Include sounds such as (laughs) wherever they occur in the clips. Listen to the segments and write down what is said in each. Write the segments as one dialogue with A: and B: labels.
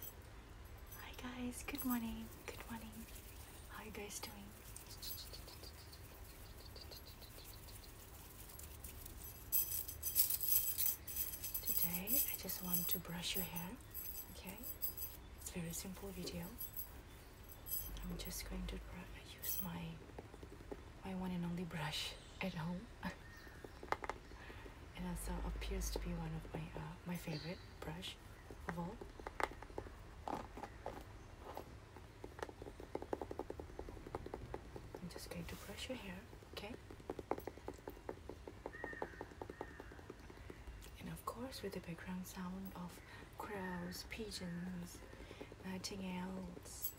A: Hi guys, good morning, good morning. How are you guys doing? Today I just want to brush your hair, okay? It's very simple video. I'm just going to use my my one and only brush at home. (laughs) and also appears to be one of my uh, my favorite brush of all. I'm just going to brush your hair, okay? And of course, with the background sound of crows, pigeons, nightingales.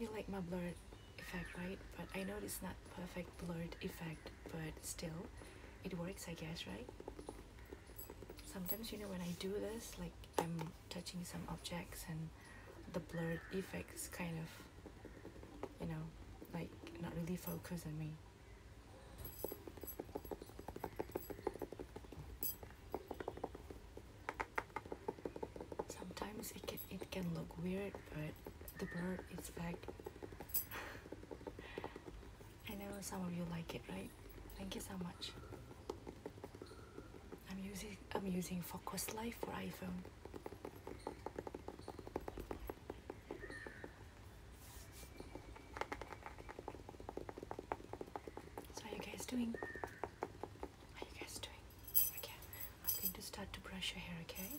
A: You like my blurred effect, right? But I know it's not perfect blurred effect, but still, it works, I guess, right? Sometimes, you know, when I do this, like I'm touching some objects and the blurred effect is kind of, you know, like not really focused on me. Sometimes it can it can look weird, but the bird is back. (laughs) I know some of you like it, right? Thank you so much. I'm using I'm using Focus Life for iPhone. So you guys doing? Are you guys doing? Okay, I'm going to start to brush your hair, okay?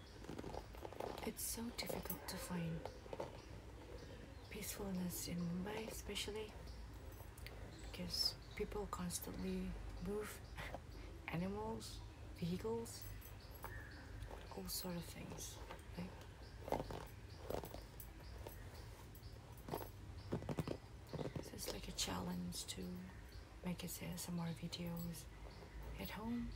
A: It's so difficult to find peacefulness in Mumbai, especially because people constantly move (laughs) animals, vehicles, all sort of things. it's like a challenge to make us some more videos at home.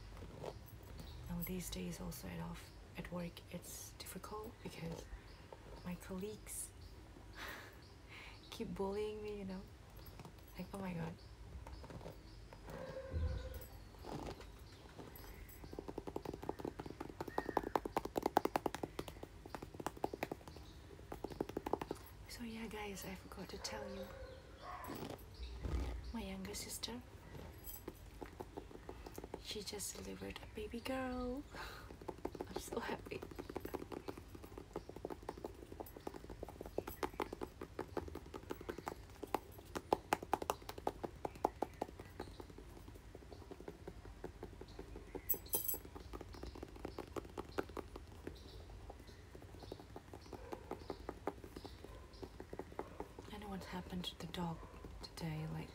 A: Now these days also at off at work it's difficult because my colleagues (laughs) keep bullying me, you know. Like oh my god. So yeah guys, I forgot to tell you my younger sister she just delivered a baby girl (laughs) I'm so happy I know what happened to the dog today, like.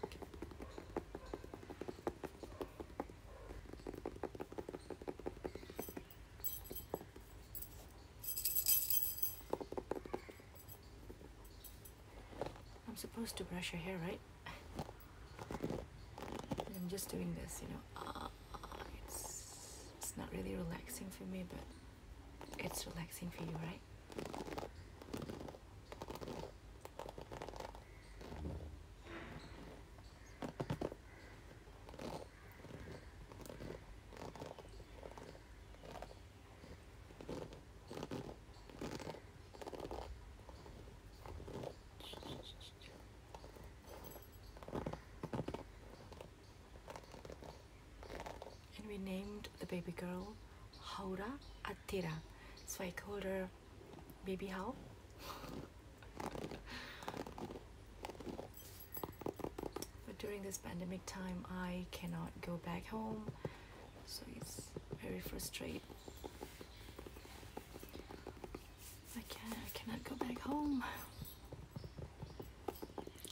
A: I'm supposed to brush her hair, right? I'm just doing this, you know. Ah it's, it's not really relaxing for me, but it's relaxing for you, right? And we named the baby girl Haura Atira. So I called her Baby How. (laughs) but during this pandemic time, I cannot go back home. So it's very frustrating. I, can, I cannot go back home.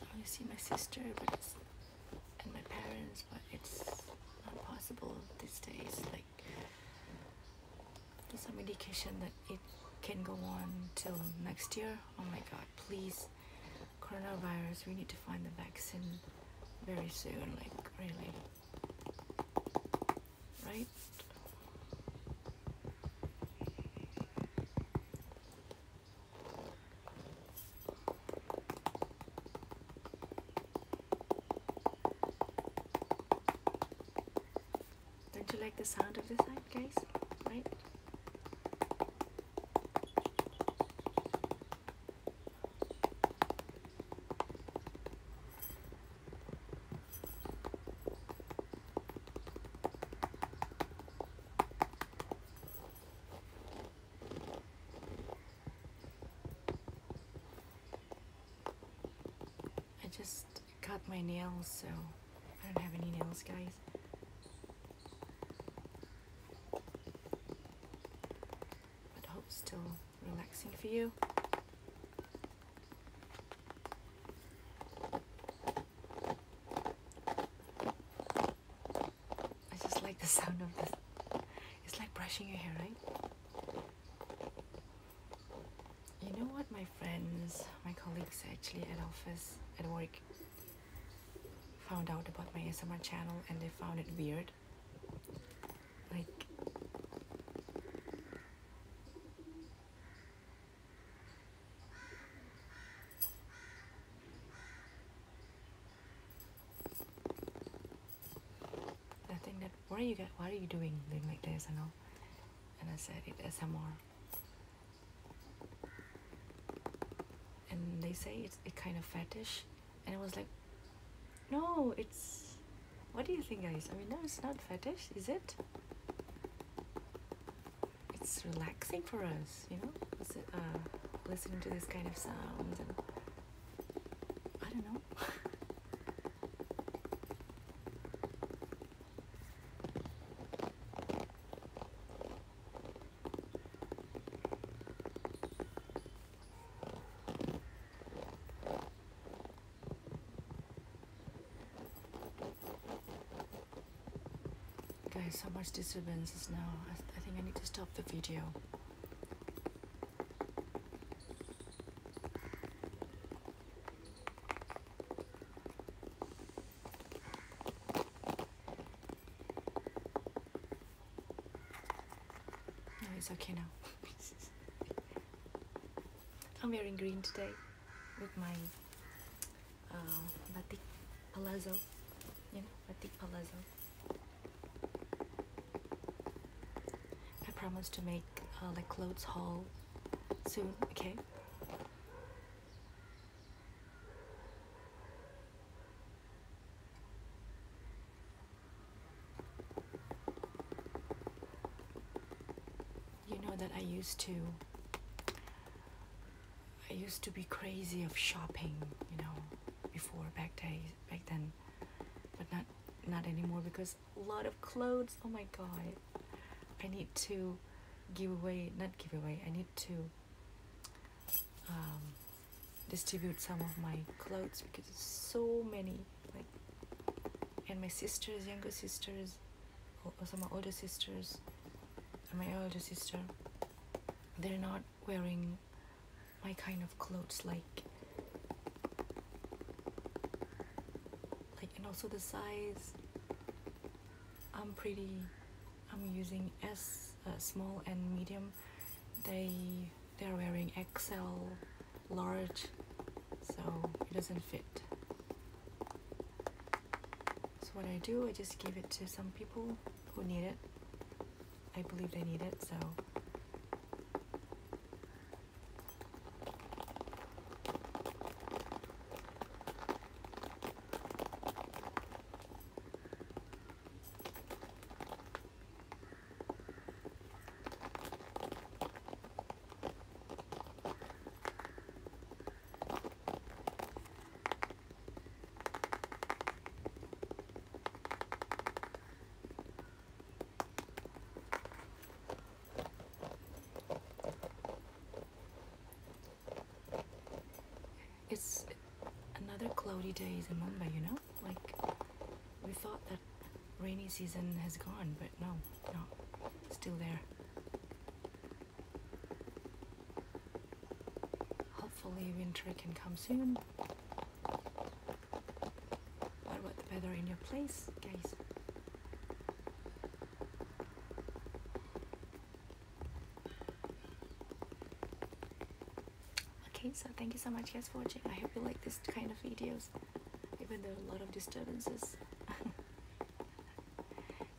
A: I want to see my sister, but it's, and my parents, but it's not possible these days. Like there's some indication that it can go on till next year. Oh my God! Please, coronavirus. We need to find the vaccine very soon. Like really, right? Don't you like the sound of this side, guys? Right? I just cut my nails, so I don't have any nails, guys. But I hope it's still relaxing for you. I just like the sound of this. It's like brushing your hair, right? You know what my friends, my colleagues actually at office, at work, found out about my ASMR channel and they found it weird. Like, I think that what are you guys what are you doing doing like this and all and I said it's S M R, and they say it's it kind of fetish and I was like no it's what do you think guys I mean no it's not fetish is it it's relaxing for us, you know, Listen, uh, listening to this kind of sound. I don't know. Guys, how much disturbances now. I, I think I need to stop the video. No, it's okay now. (laughs) I'm wearing green today with my uh, batik palazzo you know batik palazzo I promise to make uh, like clothes haul soon okay you know that I used to I used to be crazy of shopping, you know, before back days back then, but not not anymore because a lot of clothes. Oh my god, I need to give away, not give away. I need to um, distribute some of my clothes because it's so many. Like, and my sisters, younger sisters, so my older sisters my older sister they're not wearing my kind of clothes like like and also the size I'm pretty I'm using S uh, small and medium they they're wearing XL large so it doesn't fit so what I do, I just give it to some people who need it. I believe they need it, so it's another cloudy day in Mumbai, you know? Like, we thought that rainy season has gone, but but no, still there. Hopefully winter can come soon. What about the weather in your place, guys? Okay, so thank you so much guys for watching. I hope you like this kind of videos, even though a lot of disturbances. (laughs)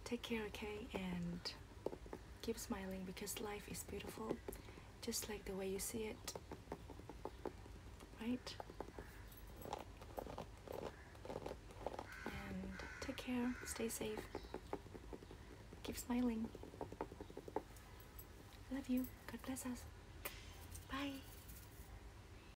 A: Take care, okay? And keep smiling because life is beautiful just like the way you see it. Right? And take care, stay safe, keep smiling. Love you. God bless us. Bye.